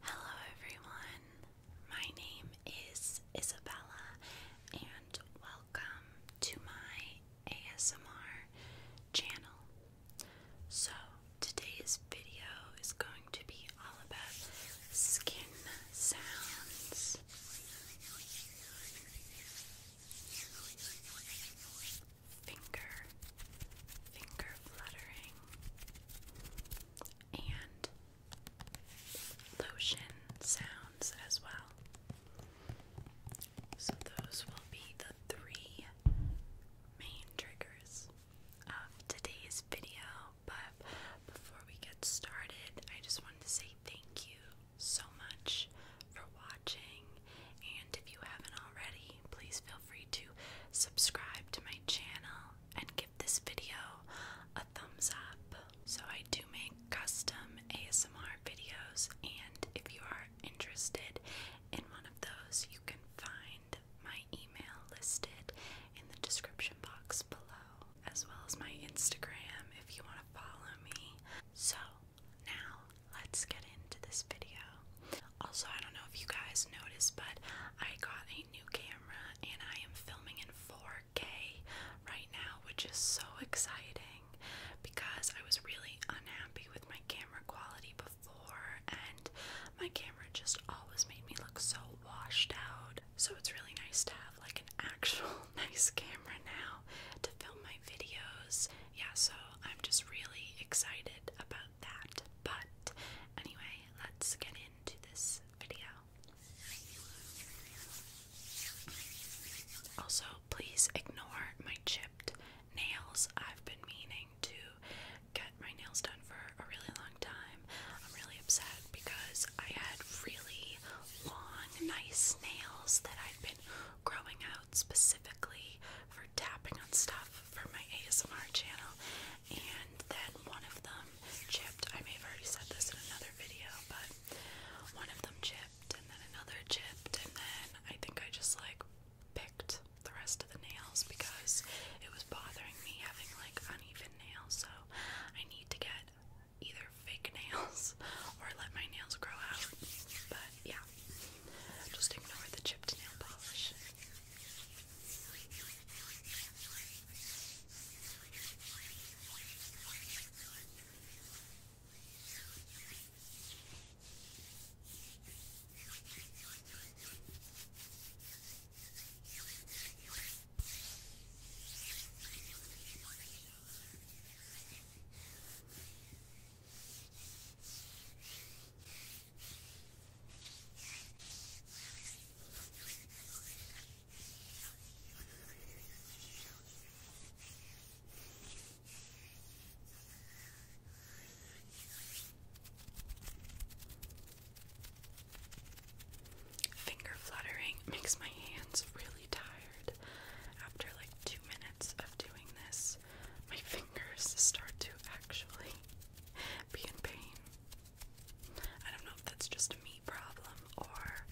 Hello, everyone. My name is Isabella, and welcome to my ASMR channel. So, today's video is going to be all about skin sounds finger, finger fluttering, and lotion sounds as well. So, those will be the three main triggers of today's video. But before we get started, I just wanted to say thank you so much for watching. And if you haven't already, please feel free to subscribe to my channel and give this video a thumbs up. So, I do make custom ASMR videos, and if you are interested in one of those, you can find my email listed in the description box below, as well as my Instagram if you want to follow me. So, now let's get into this video. Also, I don't know if you guys noticed, but I got a new camera and I am filming in 4K right now, which is so exciting because I was really unhappy with my camera quality before, and my camera just always made me look so washed out. So it's really nice to have like an actual nice camera now to film my videos yeah, so I'm just really excited about that. But anyway, let's get into this video. Also, please ignore my chipped nails. I've been meaning to get my nails done for a really long time. I'm really upset because I had really long, nice nails that i have been growing out specifically for tapping on stuff for my ASMR channel. And then one of them chipped. I may have already said this in another video, but one of them chipped, and then another chipped, and then I think I just like picked the rest of the nails because it was bothering me having like uneven nails. So I need to get either fake nails or let my nails grow out. But yeah. Just ignore the chipped nail polish. Okay, Finger fluttering makes my hands really tired after like two minutes of doing this. My fingers start to actually be in pain. I don't know if that's just a me problem or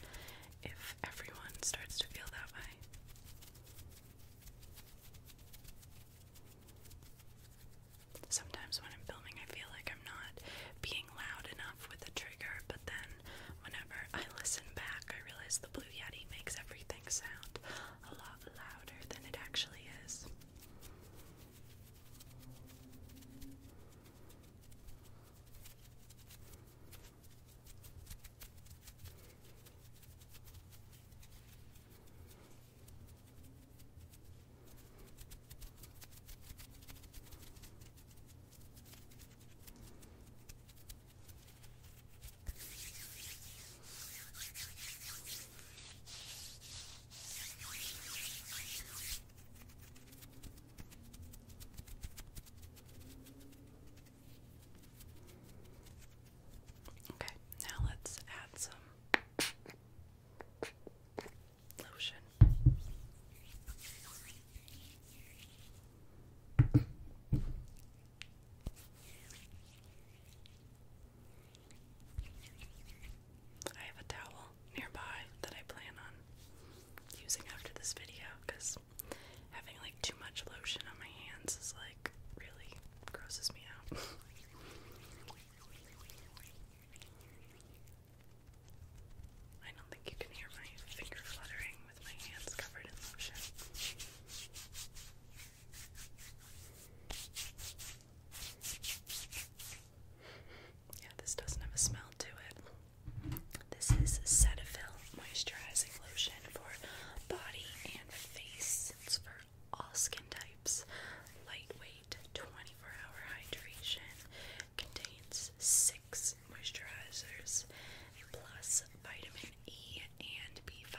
if everyone starts to feel that way. Sometimes when I'm filming, I feel like I'm not being loud enough with the trigger, but then whenever I listen back, I realize the Blue Yeti makes everything sound a lot louder than it actually is. Okay, now let's add some lotion. I have a towel nearby that I plan on using after this video because having like too much lotion on my hands is like really grosses me out. I don't think you can hear my finger fluttering with my hands covered in lotion. Yeah, this doesn't have a smell to it. This is Cetaphil Moisturizing Lotion for body and face. It's for all skin types. Lightweight, 24 hour hydration. Contains six moisturizers plus vitamin E and B5.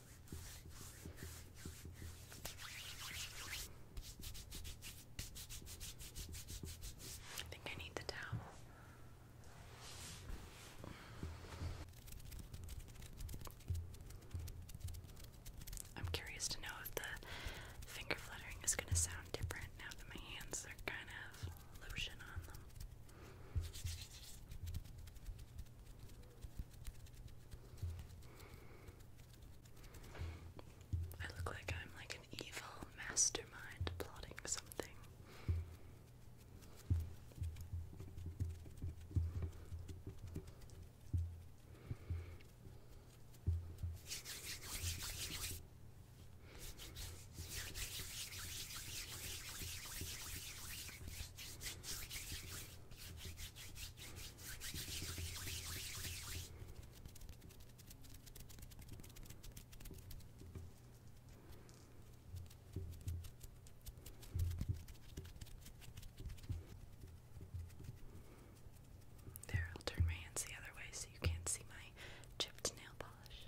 I think I need the towel. I'm curious to know if the finger fluttering is going to sound different now that my hands are kind of lotion on them. I look like I'm like an evil mastermind plotting something. There, I'll turn my hands the other way so you can't see my chipped nail polish.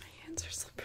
My hands are slippery.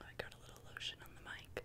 I got a little lotion on the mic.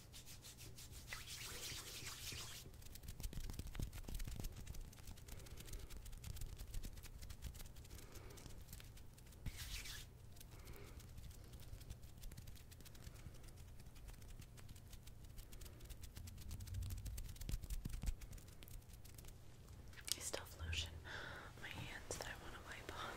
I still have lotion on my hands that I want to wipe off.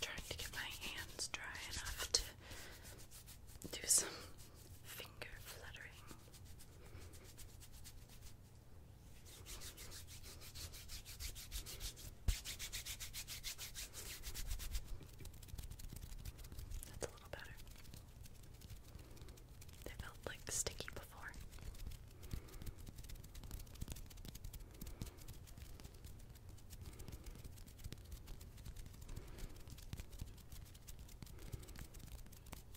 Trying to get my hands dry enough to do some finger fluttering. That's a little better. They felt like sticky before.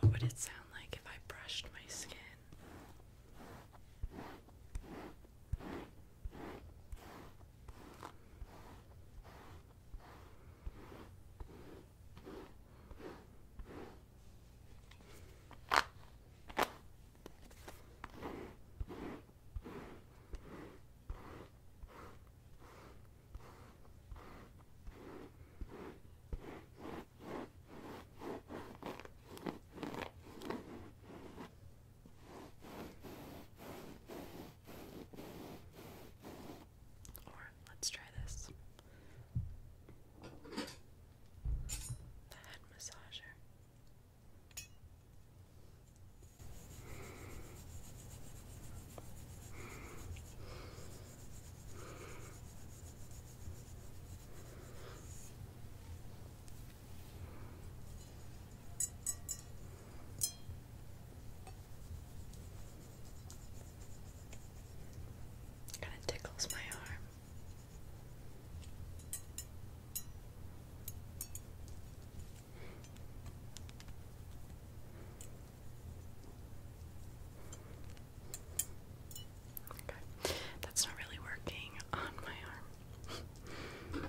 What would it sound like if I brushed my skin? let's try this the head massager. Kind of tickles my arm. Okay, that's not really working on my arm.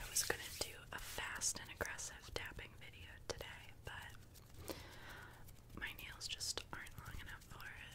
I was going to do a fast and aggressive tapping video today, but my nails just aren't long enough for it.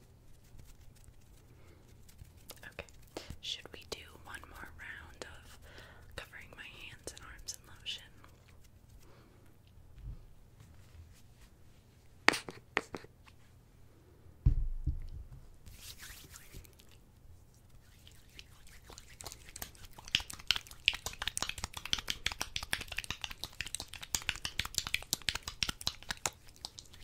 Okay. Should we do one more round of covering my hands and arms in lotion?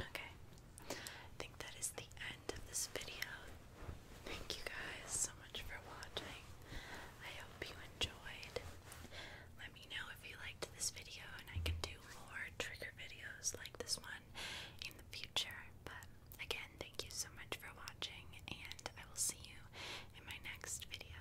Okay, I think that is the end of this video. Thank you guys so much for watching. I hope you enjoyed. Let me know if you liked this video, and I can do more trigger videos like this one in the future. But again, thank you so much for watching, and I will see you in my next video.